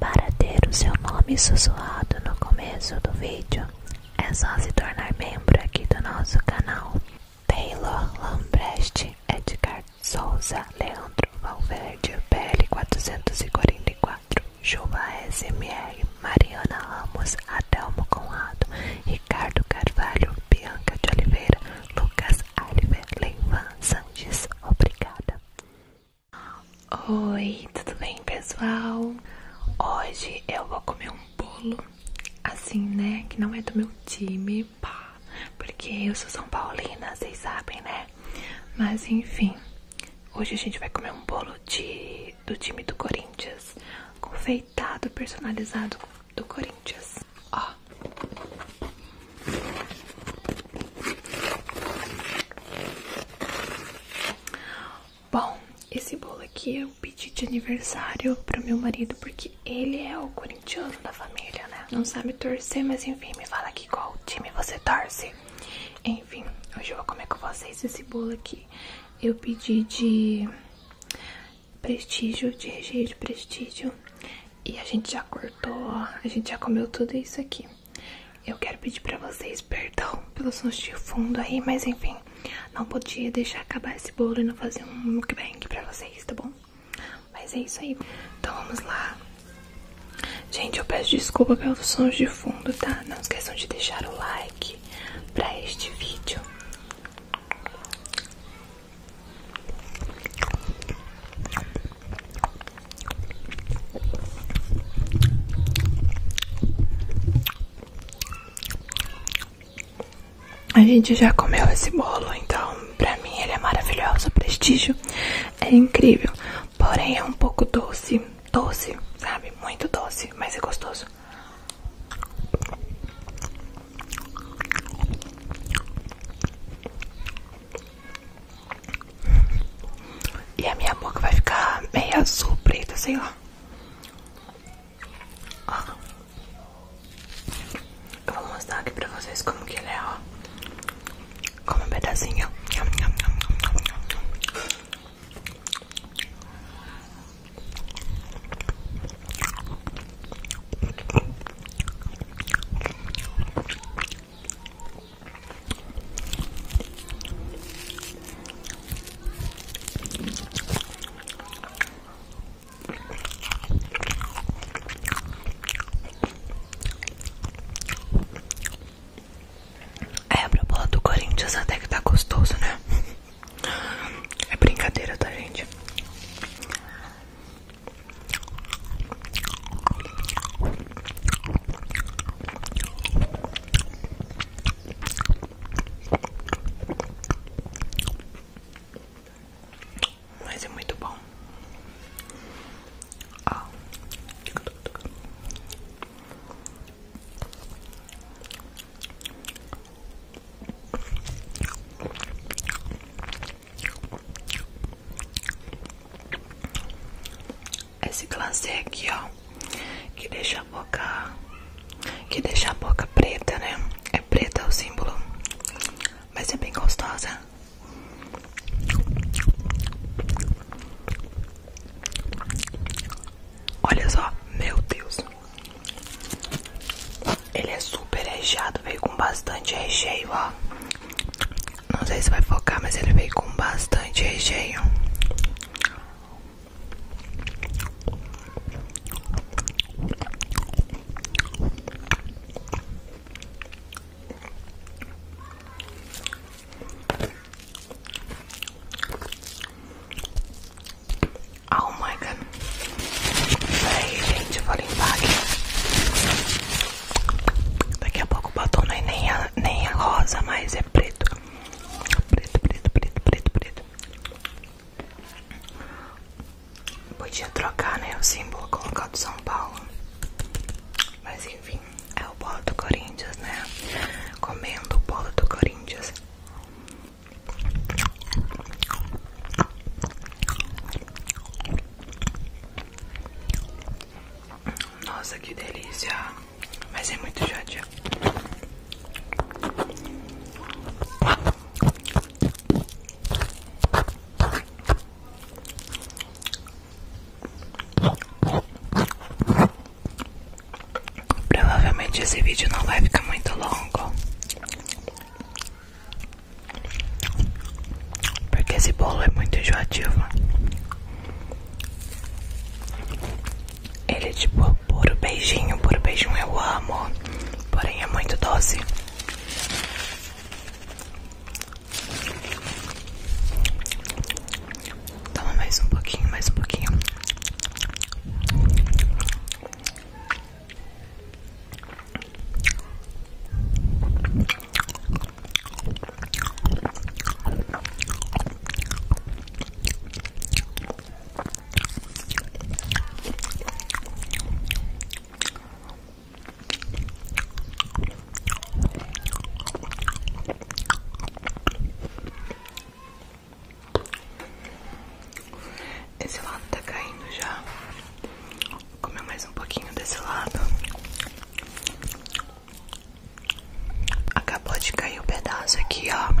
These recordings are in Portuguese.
Para ter o seu nome sussurrado no começo do vídeo, é só se tornar membro aqui do nosso canal. Taylor Lambreste, Edgar Souza, Leandro Valverde, PL444, Chuba SMR, Mariana Ramos, Adelmo Conrado, Ricardo Carvalho, Bianca de Oliveira, Lucas Alves, Leivan Sanches. Obrigada. Oi, tudo bem pessoal? Hoje eu vou comer um bolo, assim né, que não é do meu time, pá, porque eu sou São Paulina, vocês sabem né? Mas enfim, hoje a gente vai comer um bolo do time do Corinthians, confeitado, personalizado do Corinthians. Ó, Bom, esse bolo aqui eu é pedi de aniversário pro meu marido, porque ele é o corintiano da família, né? Não sabe torcer, mas enfim, me fala aqui qual time você torce. Enfim, hoje eu vou comer com vocês esse bolo aqui. Eu pedi de prestígio, de recheio de prestígio. E a gente já cortou, a gente já comeu tudo isso aqui. Eu quero pedir pra vocês perdão pelos sons de fundo aí, mas enfim, não podia deixar acabar esse bolo e não fazer um mukbang pra vocês, tá bom? Mas é isso aí. Então vamos lá. Gente, eu peço desculpa pelos sons de fundo, tá? Não esqueçam de deixar o like pra este vídeo. A gente já comeu esse bolo, então pra mim ele é maravilhoso. O prestígio é incrível, porém é um pouco doce, doce, sabe? Muito doce, mas é gostoso. E a minha boca vai ficar meio azul, preta, sei lá. Ó. Eu vou mostrar aqui pra vocês como que é, ó. Como um pedacinho. É, a bola do Corinthians até que tá gostoso, né? É brincadeira, tá, gente? Mas é muito bom. Ah. Esse glacê aqui, ó, que deixa a boca, que deixa a boca preta, né? É preta o símbolo, mas é bem gostosa. Olha só, meu Deus. Ele é super recheado, veio com bastante recheio, ó. Não sei se vai focar, mas ele veio com bastante recheio. Oh my god. Peraí, gente, eu vou limpar aqui. Daqui a pouco o batom não é nem a, nem rosa, mas é preto. Preto, preto, preto, preto, preto. Podia trocar, né? O símbolo colocar do São Paulo. Mas enfim, é o bolo do Corinthians, né? Comendo o bolo do Corinthians. Nossa, que delícia! Mas é muito judia. Provavelmente esse vídeo não vai ficar muito longo. Porque esse bolo é muito enjoativo. Ele é tipo puro beijinho, puro beijinho eu amo. Porém é muito doce. Toma mais um pouquinho, mais um pouquinho. Esse lado tá caindo já. Vou mais um pouquinho desse lado. Acabou de cair o um pedaço aqui, ó.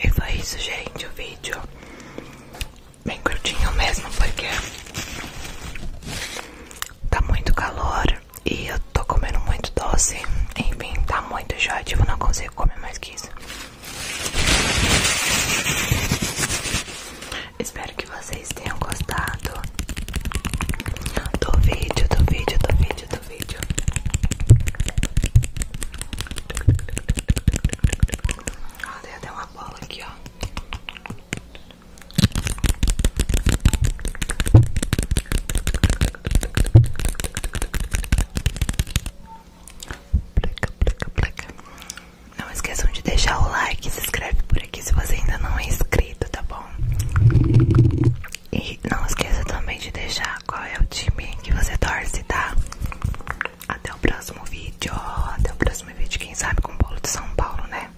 E foi isso, gente. O vídeo bem curtinho mesmo, porque tá muito calor e eu tô comendo muito doce. Enfim, tá muito Eu tipo, Não consigo comer mais que isso. Espero que vocês tenham gostado do vídeo, do vídeo, do vídeo, do vídeo. Ah, tem uma bola aqui, ó. Não esqueçam de deixar o like, se inscreve por aqui se você ainda não é inscrito, tá bom? E não esqueça também de deixar qual é o time que você torce, tá? Até o próximo vídeo, até o próximo vídeo, quem sabe com o bolo de São Paulo, né?